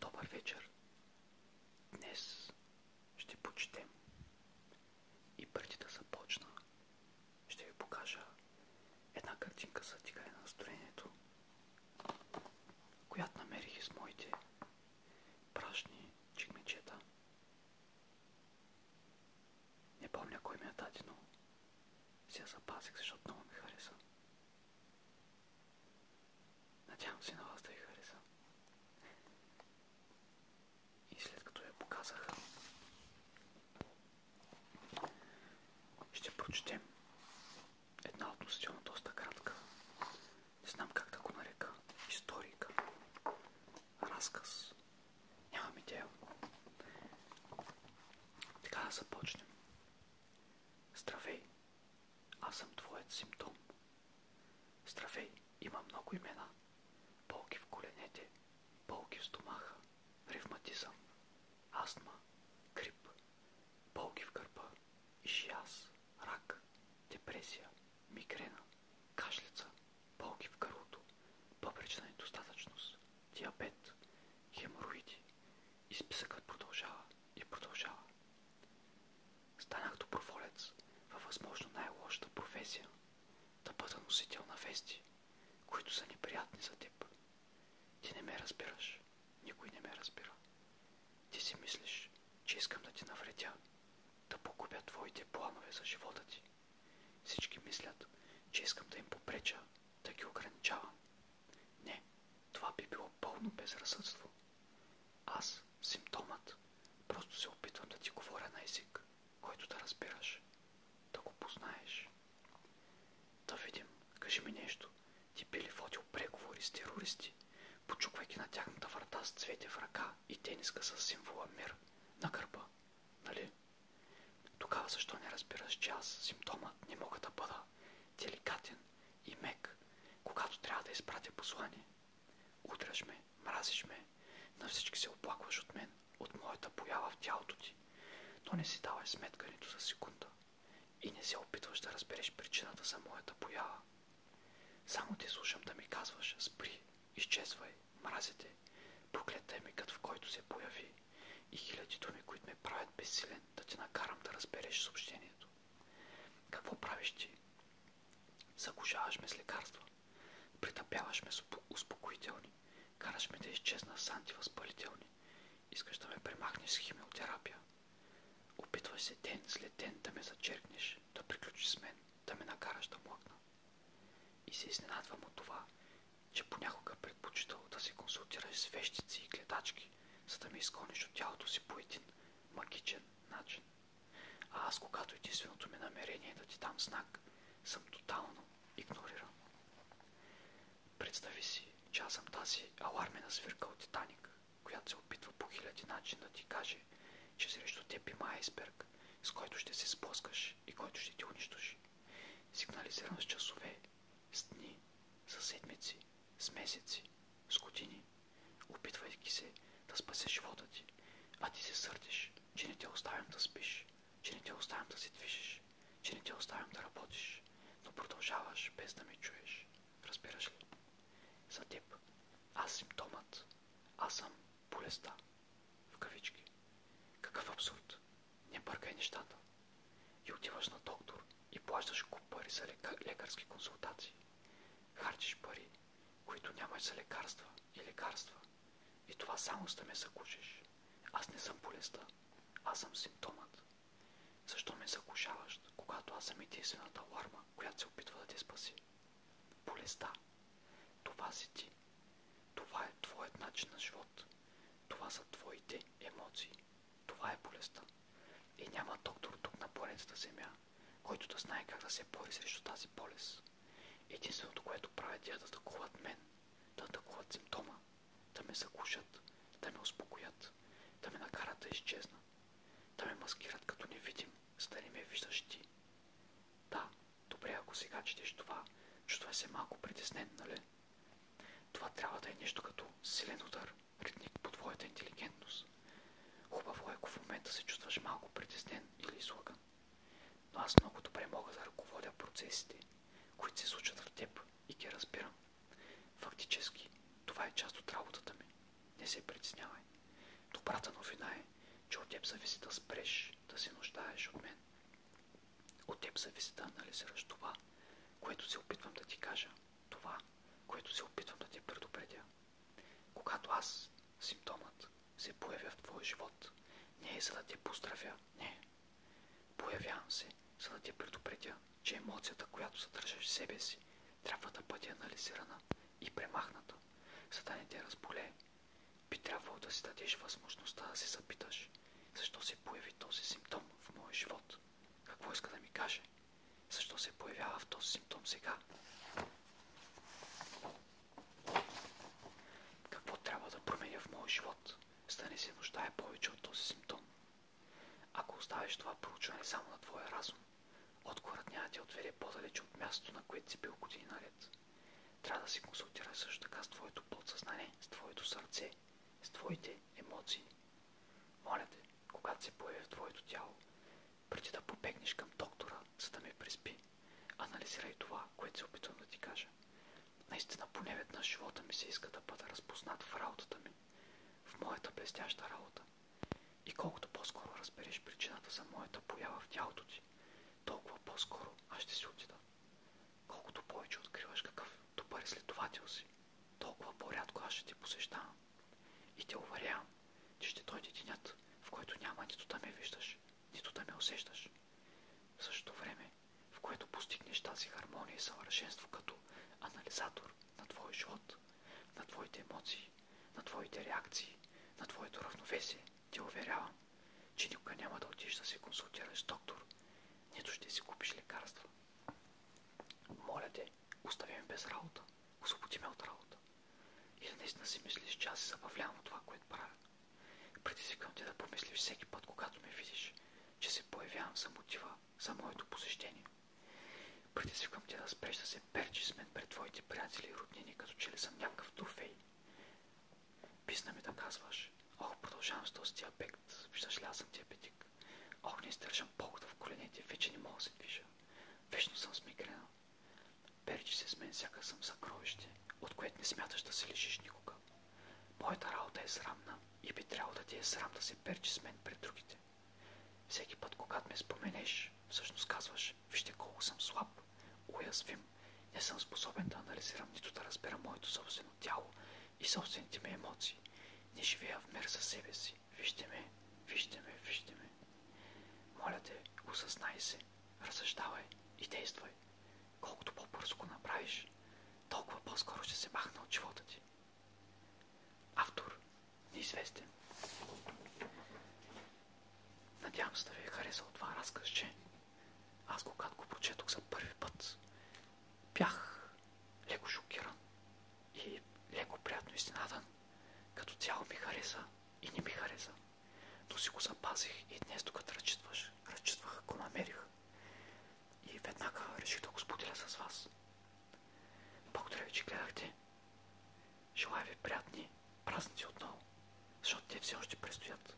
Добър вечер! Днес ще почетем. И преди да започна, ще ви покажа една картинка за тигане на настроението, която намерих из моите прашни чигмичета. Не помня кой ми е даде, но си я запазих, защото много ми хареса. Надявам се на вас да ви хареса. И след като я показах, ще прочетем една относително доста кратка. Не знам как да го нарека. Историка. Разказ. Нямам идея. Така да започнем. Здравей! Аз съм твоят симптом. Здравей, има много имена. Болки в коленете, болки в стомаха, ревматизъм, астма, грип, болки в гърба, ишиаз, рак, депресия, мигрена, кашлица, болки в гърлото, бъбречна недостатъчност, диабет, хемороиди, и списъкът продължава и продължава. Станах доброволец във възможно най-лошата професия да бъда носител на вести, които са неприятни за теб. Ти не ме разбираш. Никой не ме разбира. Ти си мислиш, че искам да ти навредя, да погубя твоите планове за живота ти. Всички мислят, че искам да им попреча, да ги ограничавам, не, това би било пълно безразсъдство. Аз, симптомът, просто се опитвам да ти говоря на език, който да разбираш, да го познаеш. Да видим, кажи ми нещо. Ти би ли водил преговори с терористи, почуквайки на тяхната врата с цвете в ръка и тениска с символа мир на гърба, нали? Тогава защо не разбираш, че аз, симптомът, не мога да бъда деликатен и мек, когато трябва да изпратя послание. Удряш ме, мразиш ме, на всички се оплакваш от мен, от моята поява в тялото ти, но не си давай сметка нито за секунда и не се опитваш да разбереш причината за моята поява. Само ти слушам да ми казваш, спри, изчезвай, мразите, проклетай мигът, в който се появи и хиляди думи, които ме правят безсилен да те накарам да разбереш съобщение съзнанието. Какво правиш ти? Заглушаваш ме с лекарства. Притъпяваш ме с успокоителни. Караш ме да изчезна с антивъзпалителни. Искаш да ме премахнеш с химиотерапия. Опитваш се ден след ден да ме зачеркнеш, да приключиш с мен, да ме накараш да млъкна. И се изненадвам от това, че понякога предпочитал да се консултираш с вещици и гледачки, за да ме изгониш от тялото си по един магичен начин. А аз, когато единственото ми намерение е да ти дам знак, съм тотално игнориран. Представи си, че аз съм тази алармена свирка от Титаник, която се опитва по хиляди начин да ти каже, че срещу теб има айсберг, с който ще се спускаш и който ще ти унищожи. Сигнализирам с часове с дни, с седмици, с месеци, с години, опитвайки се да спасеш живота ти, а ти се сърдиш, че не те оставям да спиш, че не те оставям да се движиш, че не те оставям да работиш, но продължаваш без да ме чуеш. Разбираш ли? За теб аз симптомът, аз съм болестта. В кавички. Какъв абсурд! Не бъркай нещата. И отиваш на доктор и плащаш куп пари за лека... лекарски консултации. Харчиш пари, които нямаш за лекарства и лекарства. И това само ще ме закушиш. Аз не съм болестта. Аз съм симптомът. Защо ме закушаваш, когато аз съм единствената ларма, която се опитва да те спаси? Болестта. Това си ти. Това е твоят начин на живот. Това са твоите емоции. Това е болестта. И няма доктор тук на планетата Земя, който да знае как да се бори срещу тази болест. Единственото, което правят е да атакуват мен, да атакуват симптома, да ме закушат, да ме успокоят, да ме накарат да изчезна, да ме маскират като невидим, за да не ме виждаш ти. Да, добре, ако сега четеш това, е се малко притеснен, нали? Това трябва да е нещо като силен удар, Ритник по твоята интелигентност. Хубаво е, ако в момента се чувстваш малко притеснен или излаган. Но аз много добре мога да ръководя процесите, които се случват в теб и ги разбирам. Фактически, това е част от работата ми. Не се притеснявай. Добрата новина е, че от теб зависи да спреш да се нуждаеш от мен. От теб зависи да анализираш това, което се опитвам да ти кажа това, което се опитвам да ти предупредя. Когато аз, симптомът, се появя в твоя живот, не е за да те поздравя, не. Появявам се, за да те предупредя, че емоцията, която съдържаш в себе си, трябва да бъде анализирана и премахната, за да не те разболе. Би трябвало да си дадеш възможността да се запиташ, защо се появи този симптом в моя живот. Какво иска да ми каже? Защо се появява в този симптом сега? Какво трябва да променя в моя живот, за да не се нуждае повече от този симптом? Ако оставиш това проучване само на твоя разум, отговорът няма да ти отведе по далеч от мястото, на което си бил години наред. Трябва да се консултира също така с твоето подсъзнание, с твоето сърце, с твоите емоции моля те, когато се появи в твоето тяло, преди да побегнеш към доктора, за да ме преспи, анализирай това, което се опитвам да ти кажа. Наистина поне на живота ми се иска да бъда разпознат в работата ми, в моята блестяща работа. И колкото по-скоро разбереш причината за моята поява в тялото ти, толкова по-скоро аз ще си отида. Колкото повече откриваш какъв добър изследовател си, толкова по-рядко аз ще ти посещавам. И те уверявам, че ще дойде денят, в който няма нито да ме виждаш, нито да ме усещаш. В същото време, в което постигнеш тази хармония и съвършенство като анализатор на твой живот, на твоите емоции, на твоите реакции, на твоето равновесие, те уверявам, че никога няма да отиш да се консултираш доктор, нито ще си купиш лекарства. Моля те, остави ме без работа. Освободи ме от работа. И да наистина си мислиш, че аз се забавлявам от това, което правя. Предизвиквам те да помислиш всеки път, когато ме видиш, че се появявам за мотива за моето посещение. Предизвиквам те да спреш да се перчи с мен пред твоите приятели и роднини, като че ли съм някакъв трофей. Писна ми да казваш, ох, продължавам с този диабект, виждаш ли аз съм диабетик. Ох, не издържам полката в коленете, вече не мога да се движа. Вечно съм с мигрена. Перчи се с мен, сякаш съм съкровище, от което не смяташ да се лишиш никога. Моята работа е срамна и би трябвало да ти е срам да се перчи с мен пред другите. Всеки път, когато ме споменеш, всъщност казваш, вижте колко съм слаб, уязвим, не съм способен да анализирам нито да разбера моето собствено тяло и собствените ми емоции не живея в мир със себе си. Вижте ме, вижте ме, вижте ме. Моля те, осъзнай се, разсъждавай и действай. Колкото по-бързо го направиш, толкова по-скоро ще се махна от живота ти. Автор неизвестен. Надявам се да ви е харесал това разказче. Аз когато го прочетох за първи път, Бях леко шокиран и леко приятно изненадан. Като цяло ми хареса и не ми хареса. Но си го запазих и днес, докато разчитваш, разчитвах, го намерих. И веднага реших да го споделя с вас. Благодаря ви, че гледахте. Желая ви приятни празници отново, защото те все още предстоят.